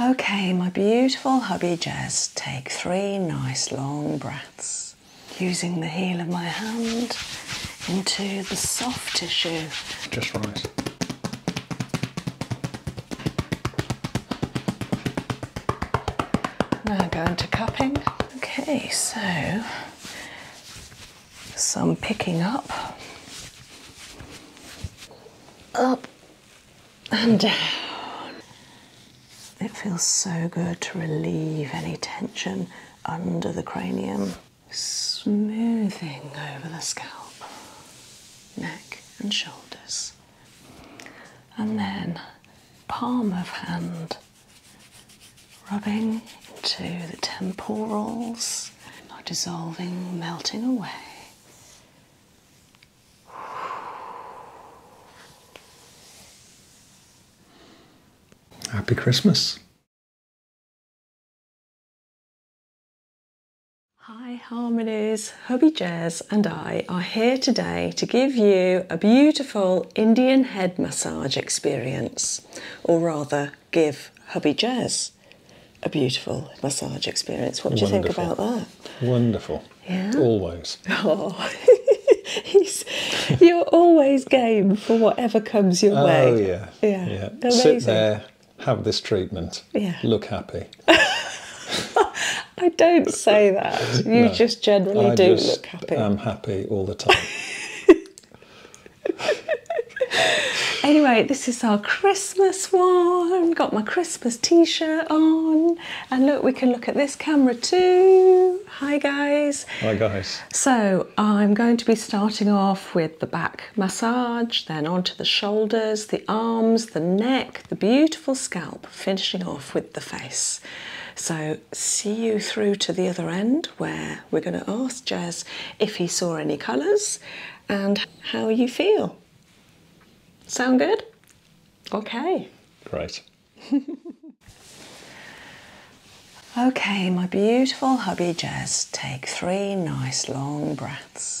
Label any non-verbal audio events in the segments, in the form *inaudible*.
Okay, my beautiful hubby Jazz, take three nice long breaths using the heel of my hand into the soft tissue. Just right. Now go into cupping. Okay, so some picking up, up, and down. *sighs* It feels so good to relieve any tension under the cranium, smoothing over the scalp, neck, and shoulders. And then palm of hand, rubbing into the temporals, dissolving, melting away. Happy Christmas. Hi, Harmonies. Hubby Jez and I are here today to give you a beautiful Indian head massage experience, or rather, give Hubby Jez a beautiful massage experience. What do you think about that? Wonderful. Always. Oh. *laughs* you're always game for whatever comes your oh, way. Oh yeah. Yeah. yeah. Sit there, have this treatment. Yeah. Look happy. *laughs* I don't say that. You just generally do look happy. I'm happy all the time. *laughs* anyway, this is our Christmas one. Got my Christmas t-shirt on. And look, we can look at this camera too. Hi guys. Hi guys. So I'm going to be starting off with the back massage, then onto the shoulders, the arms, the neck, the beautiful scalp, finishing off with the face. So see you through to the other end where we're going to ask Jez if he saw any colours and how you feel. Sound good? Okay. Great. *laughs* okay, my beautiful hubby just take three nice long breaths.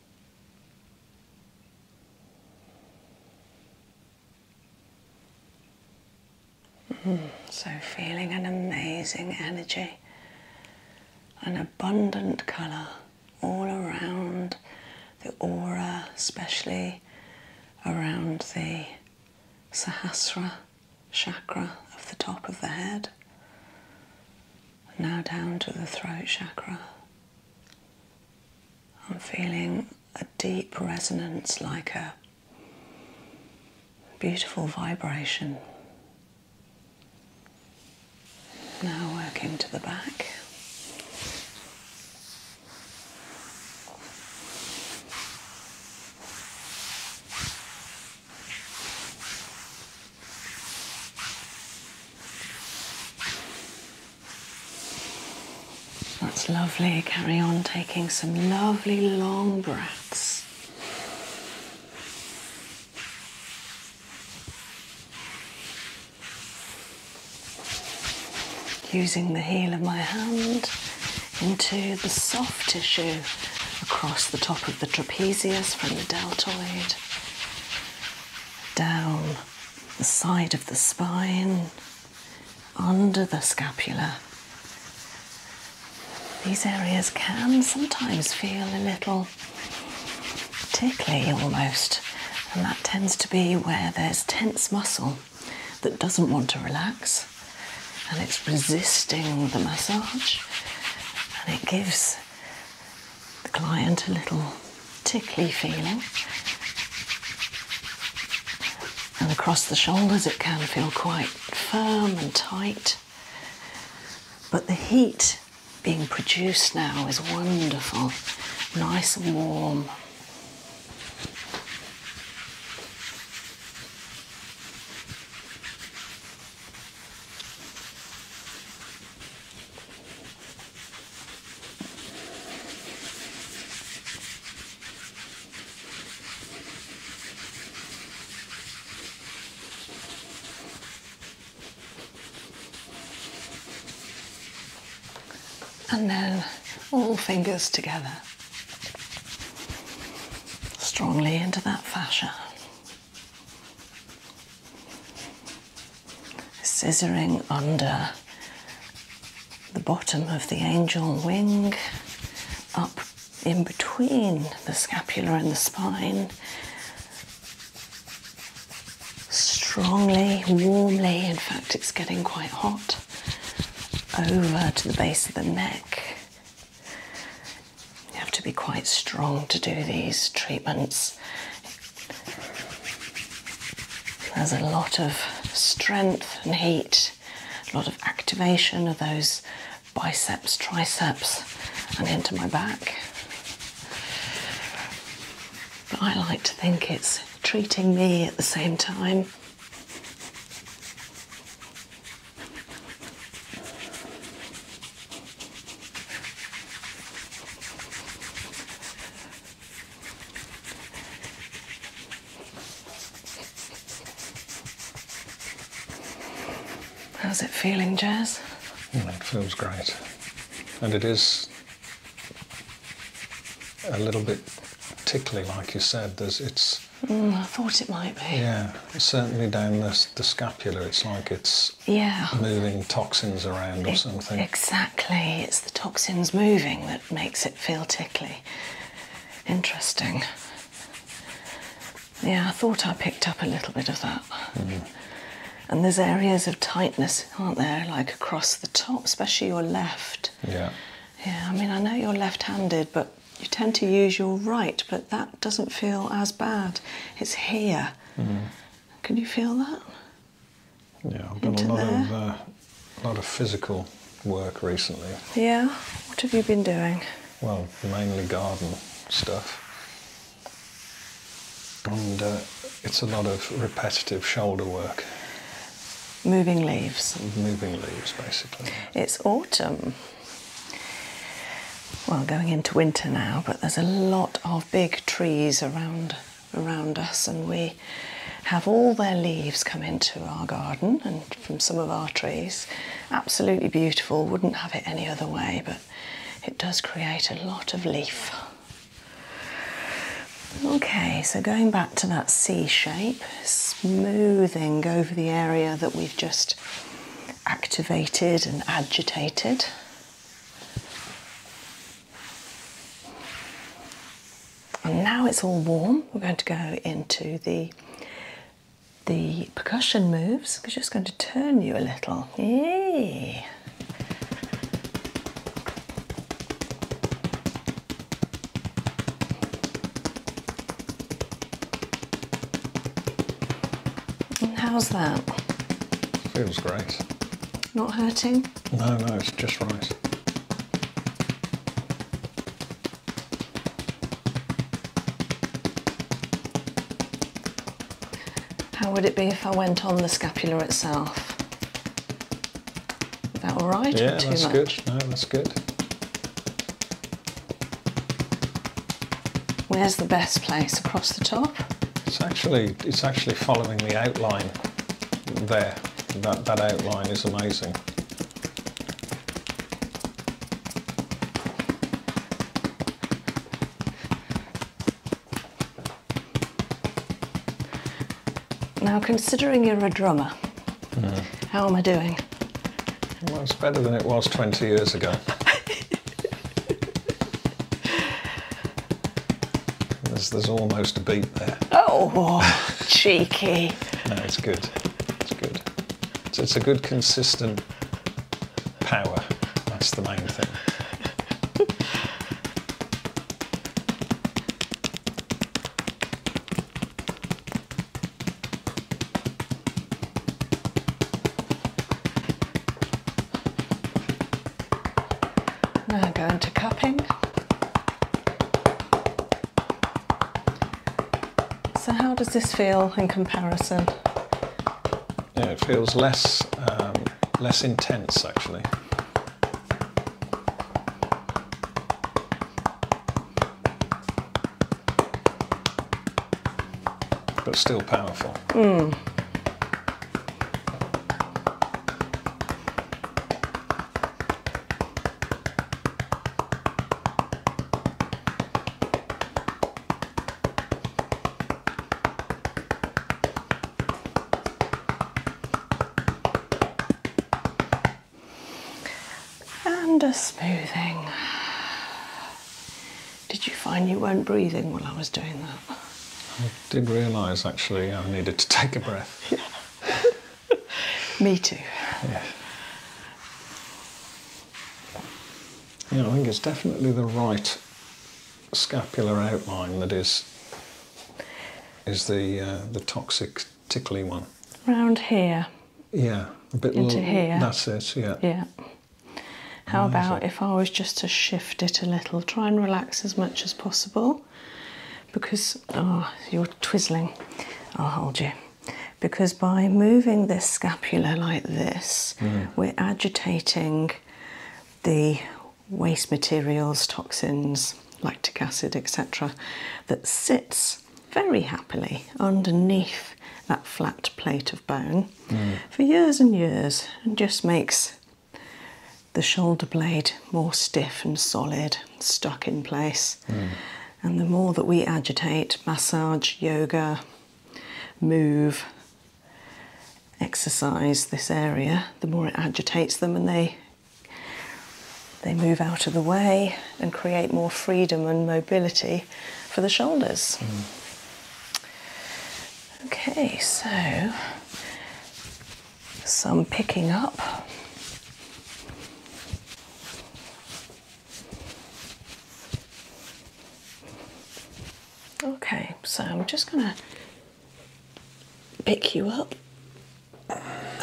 Mm, so, feeling an amazing energy, an abundant colour all around the aura, especially around the Sahasra chakra of the top of the head. Now down to the throat chakra. I'm feeling a deep resonance like a beautiful vibration. Now working to the back. That's lovely. Carry on taking some lovely long breaths. Using the heel of my hand into the soft tissue across the top of the trapezius from the deltoid down the side of the spine, under the scapula. These areas can sometimes feel a little tickly almost, and that tends to be where there's tense muscle that doesn't want to relax and it's resisting the massage and it gives the client a little tickly feeling. And across the shoulders, it can feel quite firm and tight. But the heat being produced now is wonderful, nice and warm. And then all fingers together, strongly into that fascia scissoring under the bottom of the angel wing, up in between the scapula and the spine, strongly, warmly, in fact, it's getting quite hot, over to the base of the neck. You have to be quite strong to do these treatments. There's a lot of strength and heat, a lot of activation of those biceps, triceps, and into my back. But I like to think it's treating me at the same time. How's it feeling, Jazz? it feels great. And it is a little bit tickly, like you said. There's, it's. Mm, I thought it might be. Yeah, certainly down the, the scapula, it's like it's yeah. moving toxins around or something. Exactly. It's the toxins moving that makes it feel tickly. Interesting. Yeah, I thought I picked up a little bit of that. Mm-hmm. And there's areas of tightness, aren't there? Like across the top, especially your left. Yeah. Yeah, I mean, I know you're left handed, but you tend to use your right, but that doesn't feel as bad. It's here. Mm-hmm. Can you feel that? Yeah, I've done a lot of uh, lot of physical work recently. Yeah, what have you been doing? Well, mainly garden stuff, and uh, it's a lot of repetitive shoulder work. Moving leaves. Moving leaves, basically. It's autumn. Well, going into winter now, but there's a lot of big trees around around us, and we have all their leaves come into our garden and from some of our trees. Absolutely beautiful, wouldn't have it any other way, but it does create a lot of leaf. Okay, so going back to that C shape, smoothing over the area that we've just activated and agitated. And now it's all warm, we're going to go into the the percussion moves. We're just going to turn you a little. Yay. how's that? Feels great. Not hurting? No, no, it's just right. How would it be if I went on the scapula itself? Is that all right? Yeah, that's good. No, that's good. Where's the best place? Across the top? It's actually it's actually following the outline there. That, that outline is amazing. Now, considering you're a drummer, hmm. how am I doing? Well, it's better than it was 20 years ago. *laughs* There's, almost a beat there. Oh, cheeky. *laughs* no, it's good. It's good. it's a good, consistent power. That's the main thing. Now go into cupping. So how does this feel in comparison? it feels less, um, less intense actually. But still powerful. Mm. And a smoothing. Did you find you weren't breathing while I was doing that? did realise actually I needed to take a breath. Yeah. *laughs* Me too. Yeah. Yeah, I think it's definitely the right scapular outline that is is the uh, the toxic tickly one. Around here. Yeah, a bit more into here. That's it. Yeah. Yeah. How about if I was just to shift it a little? Try and relax as much as possible because oh, you're twizzling. I'll hold you. Because by moving this scapula like this, mm. we're agitating the waste materials, toxins, lactic acid, etc., that sits very happily underneath that flat plate of bone mm. for years and years and just makes the shoulder blade more stiff and solid, stuck in place. And the more that we agitate, massage, yoga, move, exercise this area, the more it agitates them and they they move out of the way and create more freedom and mobility for the shoulders. Mm. Okay, so some picking up. Okay, so I'm just going to pick you up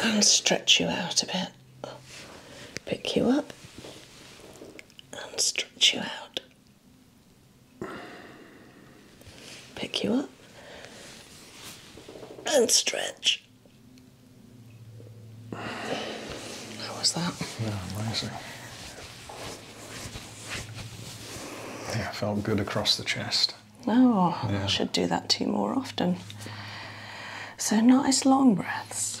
and stretch you out a bit. Pick you up and stretch you out pick you up and stretch. How was that? Yeah, amazing. Yeah, felt good across the chest. Oh, I should do that too more often. So nice long breaths.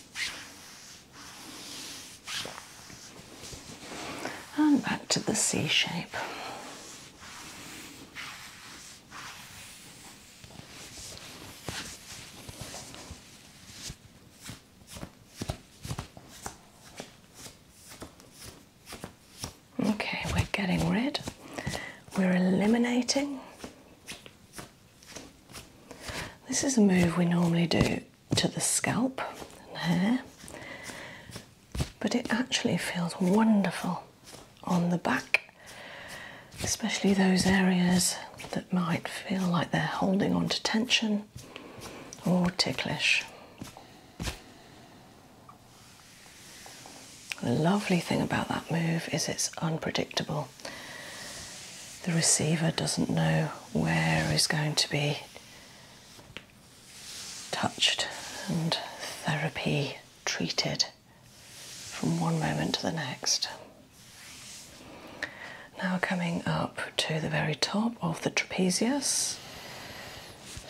And back to the C shape. Okay, we're getting rid, we're eliminating this is a move we normally do to the scalp and hair, but it actually feels wonderful on the back, especially those areas that might feel like they're holding on to tension or ticklish. The lovely thing about that move is it's unpredictable. The receiver doesn't know where is going to be touched and therapy treated from one moment to the next. Now, coming up to the very top of the trapezius,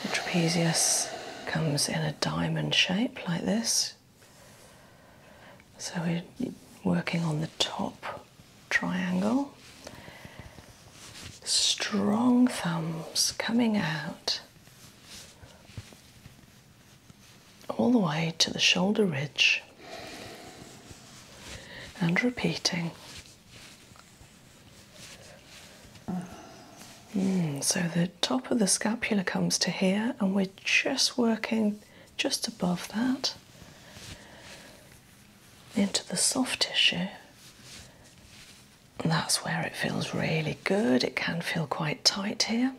the trapezius comes in a diamond shape like this. So we're working on the top triangle. Strong thumbs coming out all the way to the shoulder ridge and repeating. Hmm, so the top of the scapula comes to here, and we're just working just above that into the soft tissue. that's where it feels really good. It can feel quite tight here.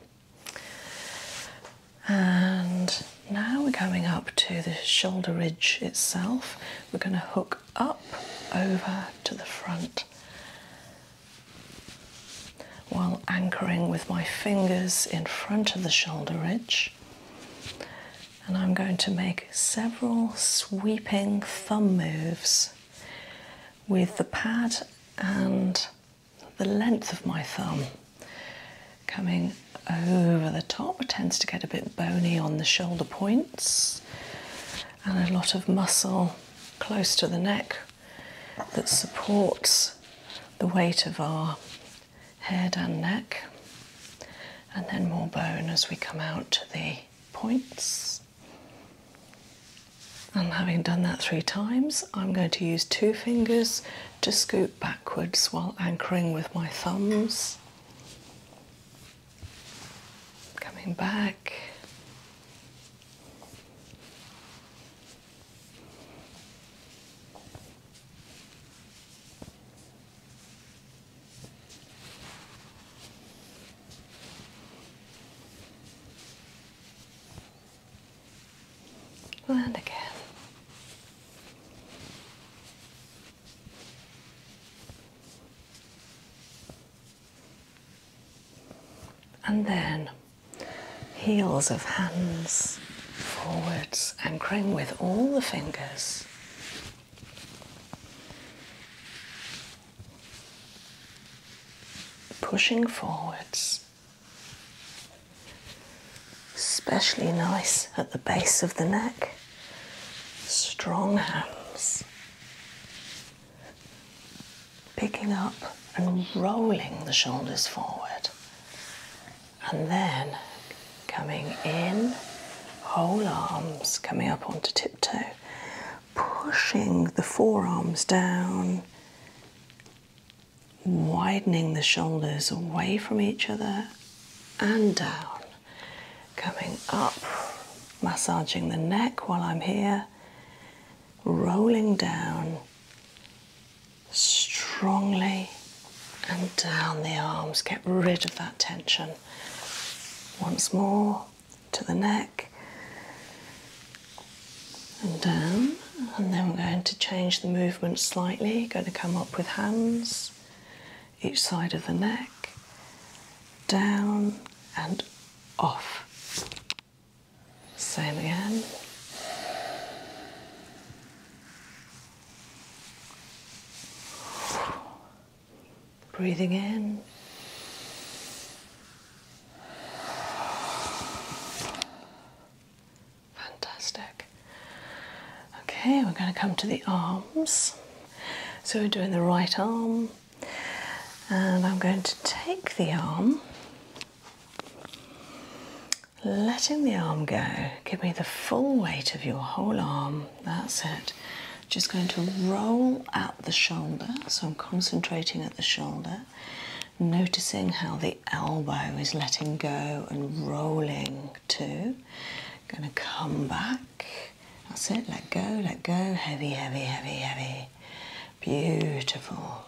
And now we're going up to the shoulder ridge itself. We're going to hook up over to the front while anchoring with my fingers in front of the shoulder ridge. And I'm going to make several sweeping thumb moves with the pad and the length of my thumb coming over the top. tends to get a bit bony on the shoulder points and a lot of muscle close to the neck that supports the weight of our head and neck, and then more bone as we come out to the points. And having done that three times, I'm going to use two fingers to scoop backwards while anchoring with my thumbs. Coming back. Land again. And then Heels of hands forwards, anchoring with all the fingers. Pushing forwards. Especially nice at the base of the neck. Strong hands. Picking up and rolling the shoulders forward and then coming in, whole arms coming up onto tiptoe, pushing the forearms down, widening the shoulders away from each other and down, coming up, massaging the neck while I'm here, rolling down strongly and down the arms. Get rid of that tension. Once more to the neck and down. And then we're going to change the movement slightly. Going to come up with hands each side of the neck, down and off. Same again. Breathing in. Fantastic. Okay, we're going to come to the arms. So we're doing the right arm, and I'm going to take the arm letting the arm go. Give me the full weight of your whole arm. That's it. Just going to roll at the shoulder. So I'm concentrating at the shoulder, noticing how the elbow is letting go and rolling too. Going to come back. That's it. Let go, let go. Heavy, heavy, heavy, heavy. Beautiful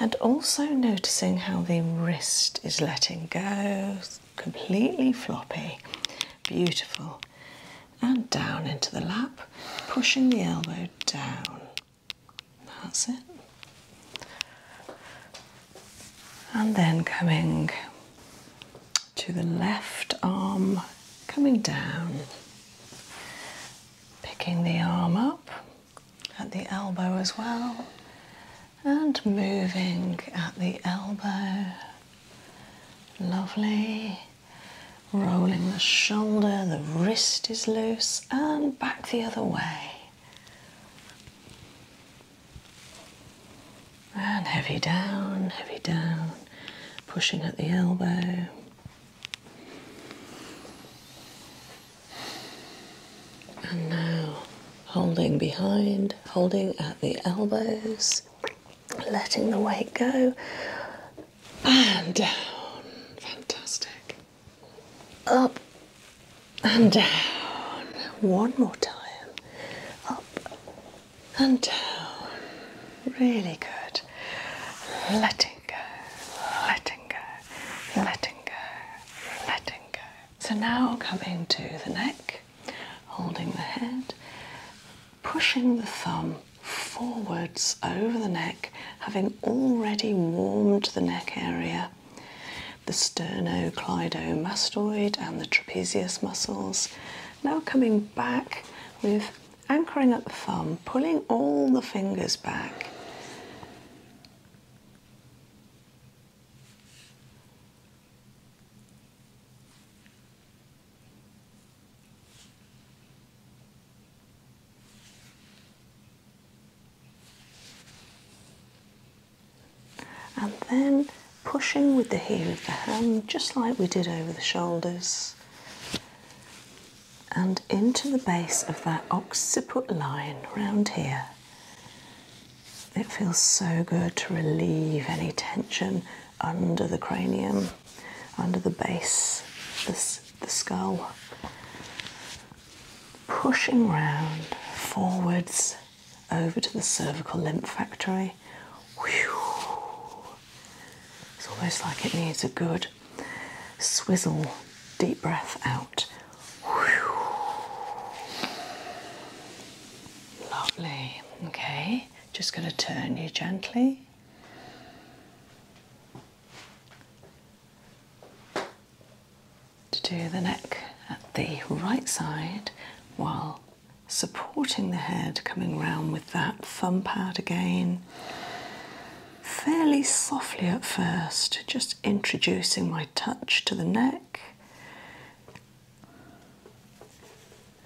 and also noticing how the wrist is letting go, completely floppy, beautiful, and down into the lap, pushing the elbow down. That's it. And then coming to the left arm, coming down, picking the arm up at the elbow as well, and moving at the elbow. Lovely. Rolling the shoulder, the wrist is loose, and back the other way. And heavy down, heavy down, pushing at the elbow. And now holding behind, holding at the elbows, letting the weight go, and down. Fantastic. Up and down. One more time. Up and down. Really good. Letting go, letting go, letting go, letting go. So now coming to the neck, holding the head, pushing the thumb forwards over the neck, having already warmed the neck area, the sternocleidomastoid and the trapezius muscles. Now coming back with anchoring up the thumb, pulling all the fingers back. And then pushing with the heel of the hand, just like we did over the shoulders, and into the base of that occiput line round here. It feels so good to relieve any tension under the cranium, under the base, the, skull. Pushing round forwards over to the cervical lymph factory. It's almost like it needs a good swizzle, deep breath out. Lovely. Okay, just going to turn you gently. To do the neck at the right side while supporting the head, coming round with that thumb pad again. Fairly softly at first, just introducing my touch to the neck.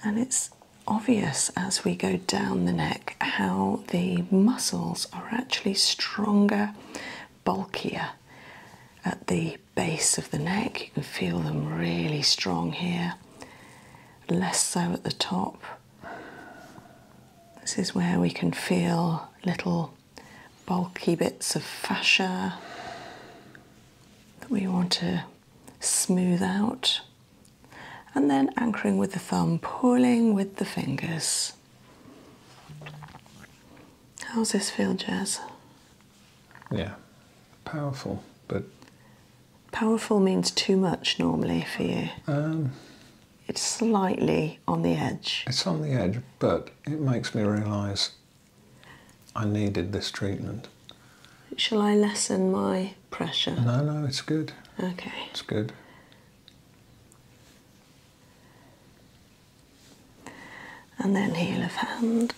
And it's obvious as we go down the neck how the muscles are actually stronger, bulkier at the base of the neck. You can feel them really strong here, less so at the top. This is where we can feel little bulky bits of fascia that we want to smooth out, and then anchoring with the thumb, pulling with the fingers. How's this feel, Jazz? Yeah, powerful, but. Powerful means too much normally for you. Um. it's slightly on the edge. It's on the edge, but it makes me realise I needed this treatment. Shall I lessen my pressure? No, no, it's good. Okay. It's good. And then heel of hand.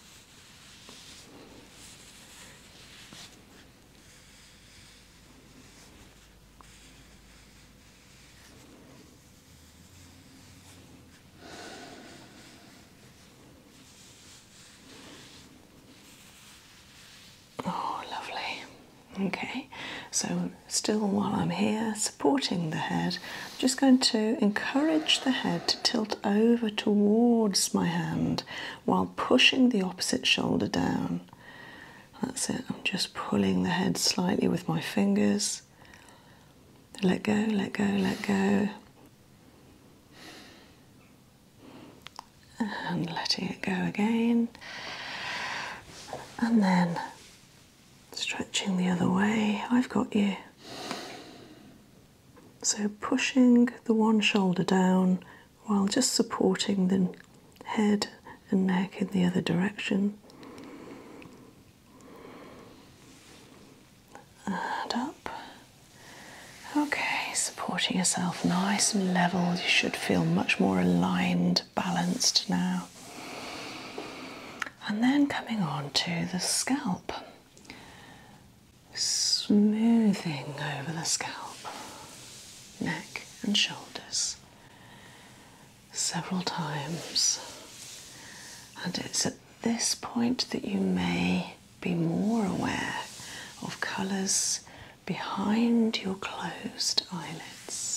Oh, lovely. Okay, so still while I'm here supporting the head, I'm just going to encourage the head to tilt over towards my hand while pushing the opposite shoulder down. That's it, I'm just pulling the head slightly with my fingers. Let go, let go, let go. And letting it go again. And then stretching the other way. I've got you. So pushing the one shoulder down while just supporting the head and neck in the other direction up. Okay, supporting yourself nice and level. You should feel much more aligned, balanced now. And then coming on to the scalp, smoothing over the scalp, neck and shoulders several times. And it's at this point that you may be more aware of colours behind your closed eyelids.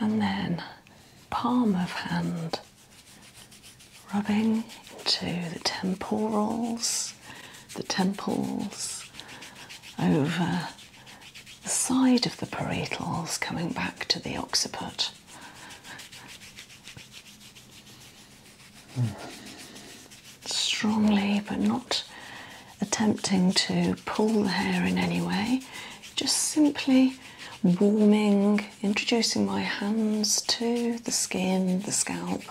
And then palm of hand rubbing into the temporals, the temples, over the side of the parietals, coming back to the occiput. Strongly, but not attempting to pull the hair in any way, just simply warming introducing my hands to the skin, the scalp,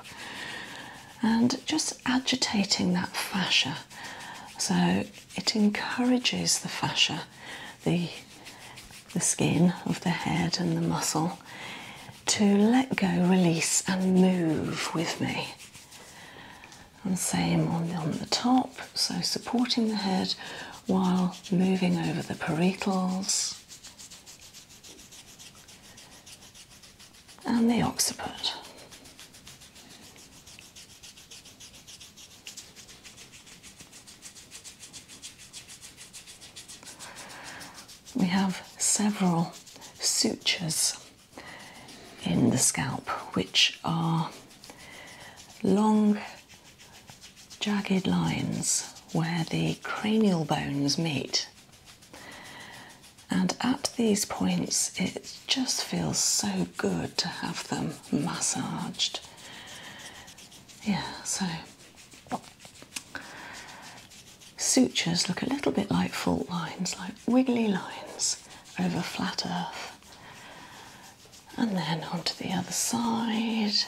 and just agitating that fascia. So it encourages the fascia, the, the skin of the head and the muscle to let go, release, and move with me. And same on, on the top, so supporting the head while moving over the parietals and the occiput. We have several sutures in the scalp which are long, jagged lines where the cranial bones meet. And at these points, it just feels so good to have them massaged. Yeah, so sutures look a little bit like fault lines, like wiggly lines over flat earth. And then onto the other side.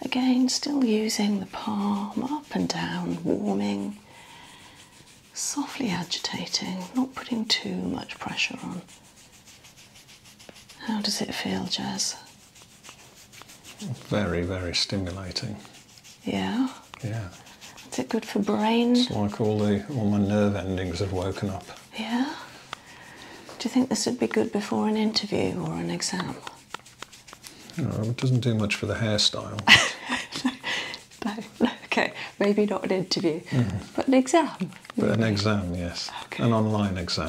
Again, still using the palm up and down, warming, softly agitating, not putting too much pressure on. How does it feel, Jez? Very, very stimulating. Yeah. Yeah. Is it good for brain? It's like all the all my nerve endings have woken up. Yeah. Do you think this would be good before an interview or an exam? it doesn't do much for the hairstyle. *laughs* no, okay, maybe not an interview, mm-hmm. but an exam. But an exam, yes, an online exam. *laughs*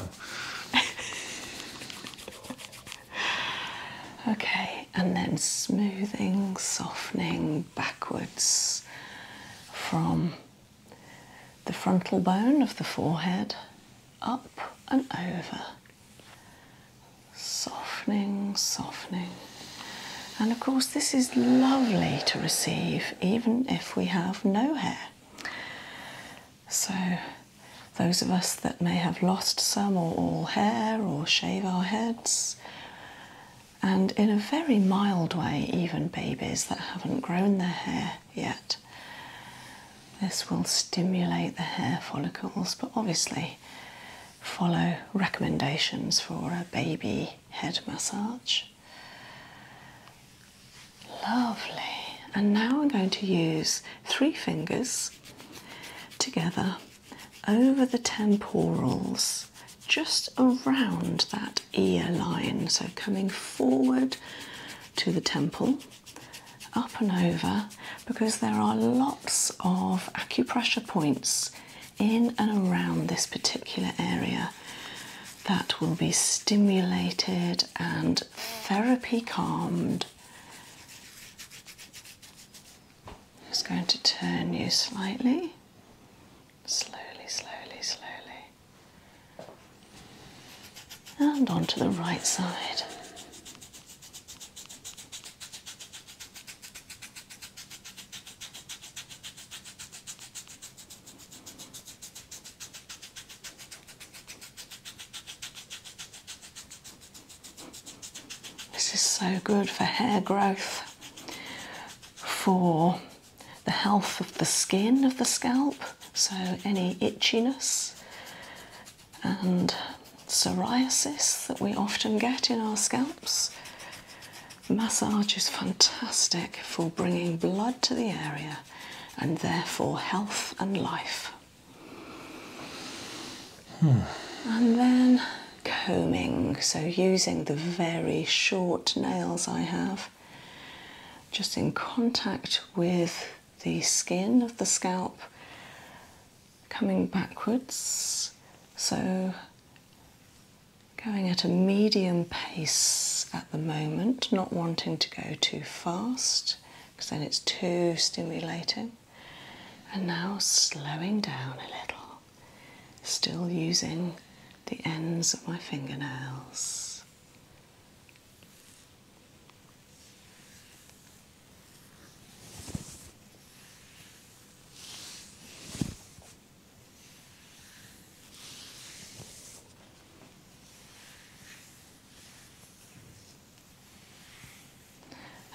okay, and then smoothing, softening backwards from the frontal bone of the forehead up and over Softening, softening. And of course, this is lovely to receive even if we have no hair. So, those of us that may have lost some or all hair or shave our heads, and in a very mild way, even babies that haven't grown their hair yet, this will stimulate the hair follicles, but obviously follow recommendations for a baby head massage. Lovely. And now I'm going to use three fingers together over the temporals, just around that ear line. So coming forward to the temple up and over because there are lots of acupressure points in and around this particular area that will be stimulated and therapy calmed. Just going to turn you slightly, slowly, slowly, slowly, and on to the right side. This is so good for hair growth, for the health of the skin of the scalp, so any itchiness, and psoriasis that we often get in our scalps. Massage is fantastic for bringing blood to the area and therefore health and life. Hmm. And then combing, so using the very short nails I have, just in contact with the skin of the scalp coming backwards, so going at a medium pace at the moment, not wanting to go too fast because then it's too stimulating. And now slowing down a little, still using the ends of my fingernails.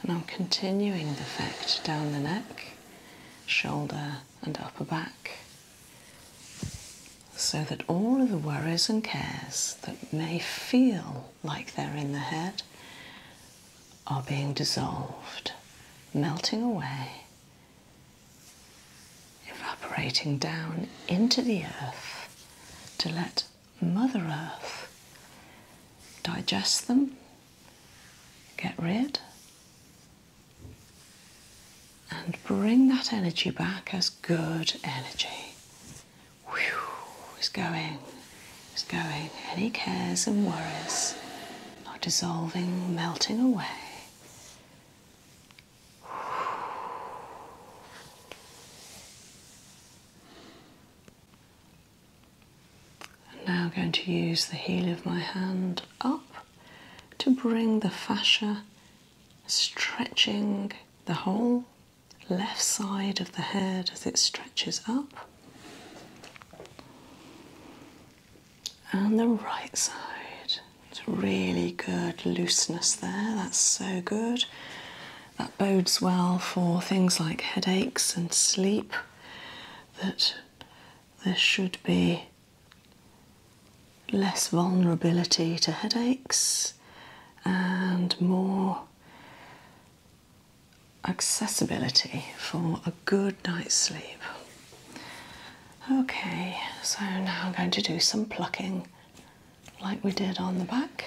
And I'm continuing the effect down the neck, shoulder, and upper back so that all of the worries and cares that may feel like they're in the head are being dissolved, melting away, evaporating down into the earth to let Mother Earth digest them, get rid, and bring that energy back as good energy. Whew, it's going, it's going. Any cares and worries are dissolving, melting away. now I'm going to use the heel of my hand up to bring the fascia stretching the whole left side of the head as it stretches up, and the right side. It's really good looseness there, that's so good. That bodes well for things like headaches and sleep. That there should be less vulnerability to headaches and more accessibility for a good night's sleep. Okay, so now I'm going to do some plucking like we did on the back.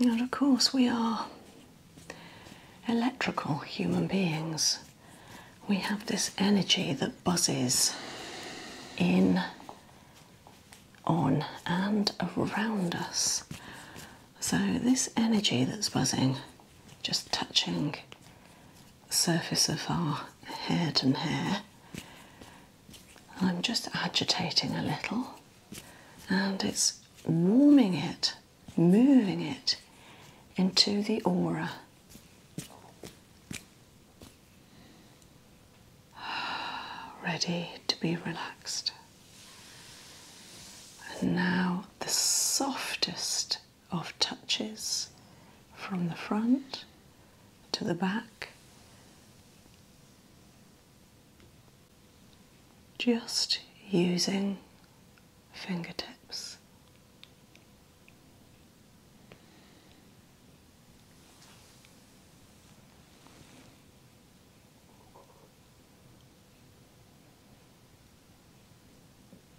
And of course, we are electrical human beings. We have this energy that buzzes in, on, and around us. So, this energy that's buzzing, just touching surface of our head and hair. I'm just agitating a little and it's warming it, moving it into the aura. *sighs* Ready to be relaxed. And now the softest of touches from the front to the back. Just using fingertips.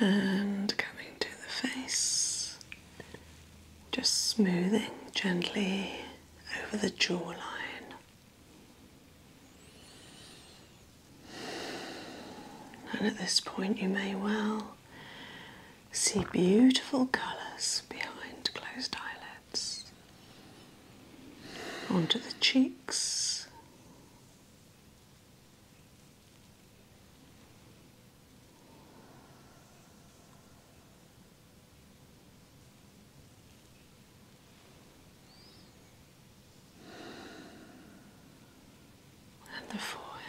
And coming to the face, just smoothing gently over the jawline. And at this point, you may well see beautiful colours behind closed eyelids, onto the cheeks. And the forehead.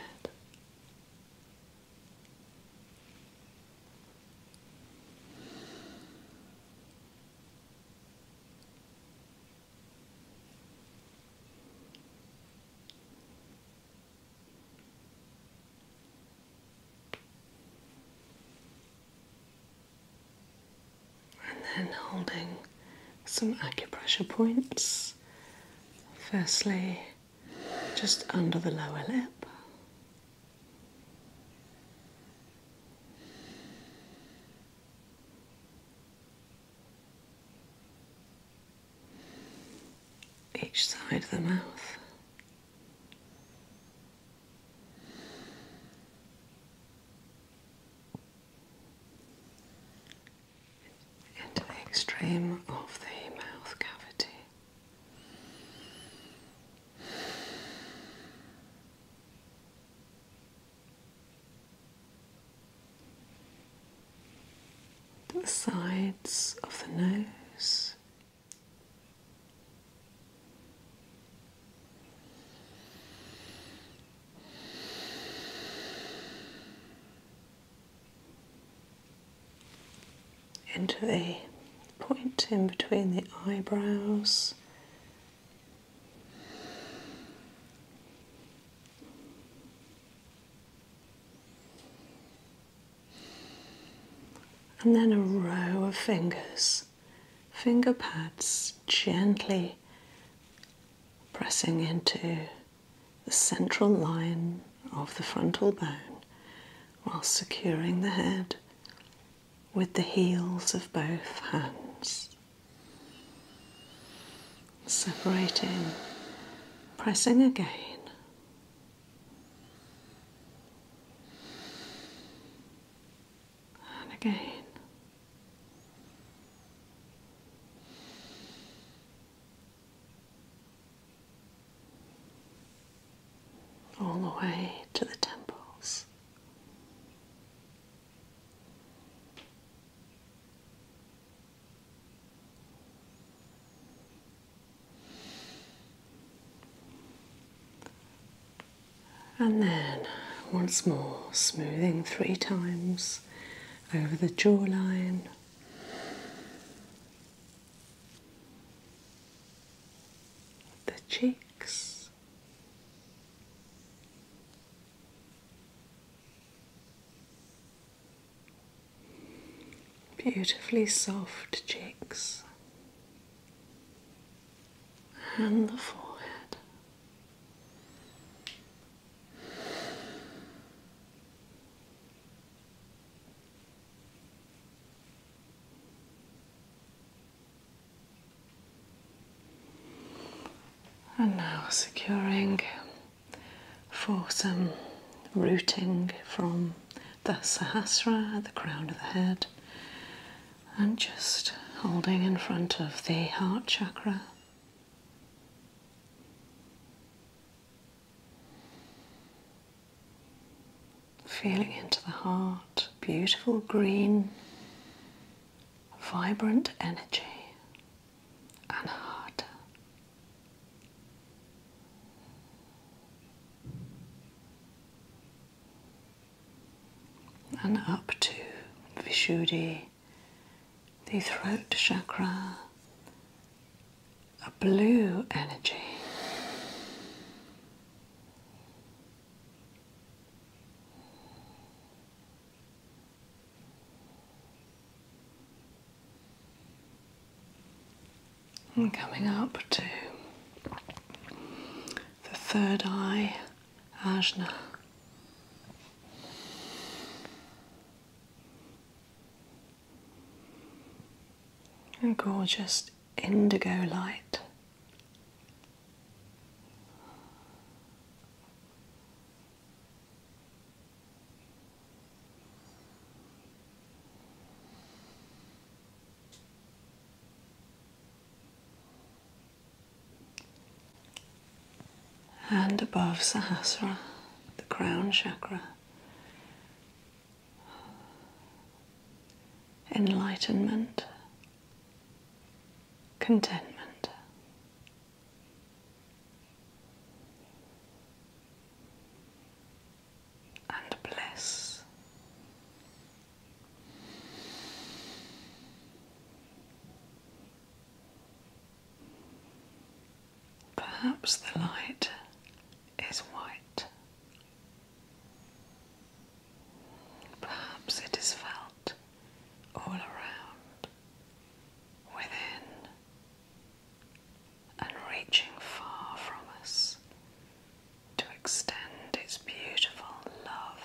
And then holding some acupressure points Firstly, just under the lower lip. Each side of the mouth into the extreme of the mouth cavity. the sides of the nose into the point in between the eyebrows. And then a row of fingers, finger pads gently pressing into the central line of the frontal bone while securing the head with the heels of both hands. Separating, pressing again. And again all the way to the temples. And then once more, smoothing three times over the jawline the cheeks. Beautifully soft cheeks and the forehead. And now securing for some rooting from the Sahasra the crown of the head and just holding in front of the heart chakra. Feeling into the heart, beautiful green, vibrant energy, and heart. And up to Vishuddi the throat chakra, a blue energy. And coming up to the third eye, Ajna and gorgeous indigo light. And above Sahasra, the crown chakra enlightenment, contentment. And bliss. Perhaps the light is white. Perhaps it is felt all around, within, and reaching far from us to extend its beautiful love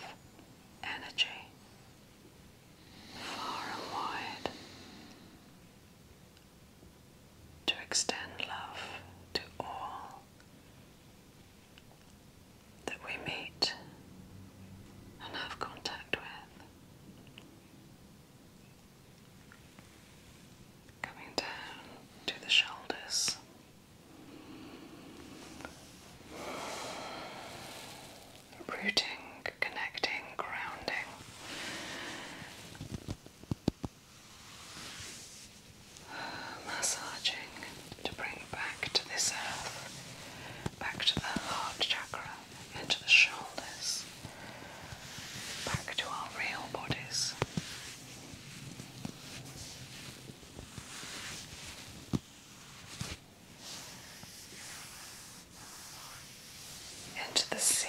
energy far and wide to extend love to all that we meet and have contact with. Coming down to the shoulders. Rooting connecting, grounding. Massaging to bring back to this earth, back to the heart chakra, into the shoulders, back to our real bodies into the sea.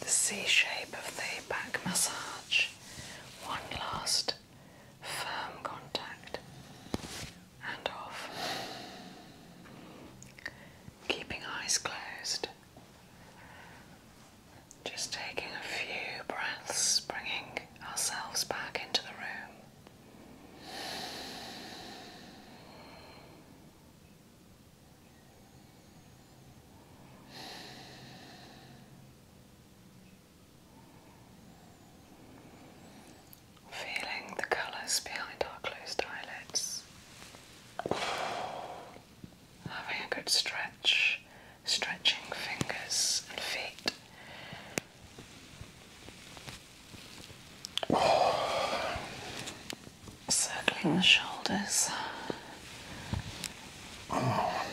The C shape of the back massage, one last firm contact and off. Keeping eyes closed, just taking a few breaths, bringing ourselves back into the room. Feeling the colours behind our closed eyelids. Having a good stretch, stretching fingers and feet Circling the shoulders. Oh.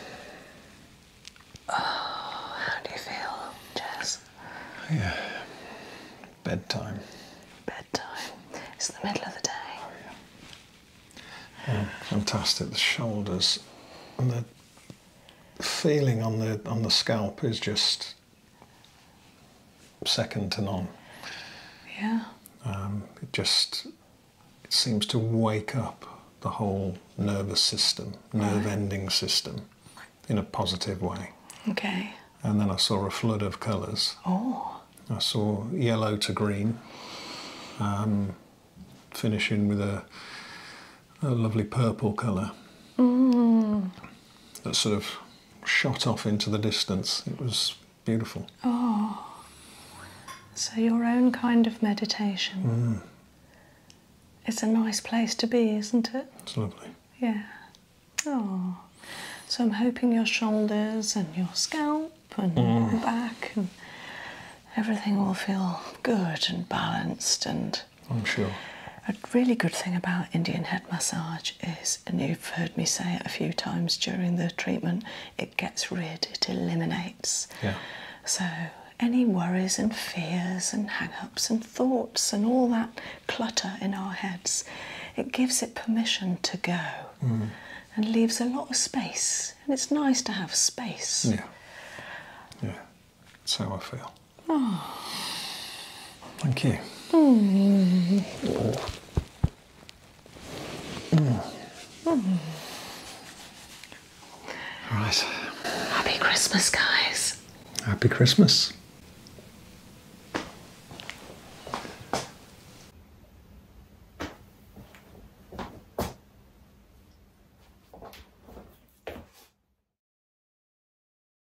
oh, how do you feel, Jess? Yeah. Bedtime. Bedtime. It's the middle of the day. Oh, yeah. yeah. Oh, fantastic. The shoulders and the feeling on the on the scalp is just second to none. Yeah. Um, it just it seems to wake up the whole nervous system, nerve ending system, in a positive way. Okay. And then I saw a flood of colours. Oh. I saw yellow to green, um, finishing with a, lovely purple colour. Mm. That sort of shot off into the distance. It was beautiful. Oh. So, your own kind of meditation. Hmm. It's a nice place to be, isn't it? It's lovely. Yeah. Oh. So, I'm hoping your shoulders and your scalp and your hmm. back and everything will feel good and balanced and I'm sure. A really good thing about Indian head massage is, and you've heard me say it a few times during the treatment, it gets rid, it eliminates. Yeah. So any worries and fears and hang-ups and thoughts and all that clutter in our heads, it gives it permission to go mm. and leaves a lot of space. And it's nice to have space. Yeah. Yeah. That's how I feel. Oh. Thank you. Mm. All right. Happy Christmas, guys. Happy Christmas.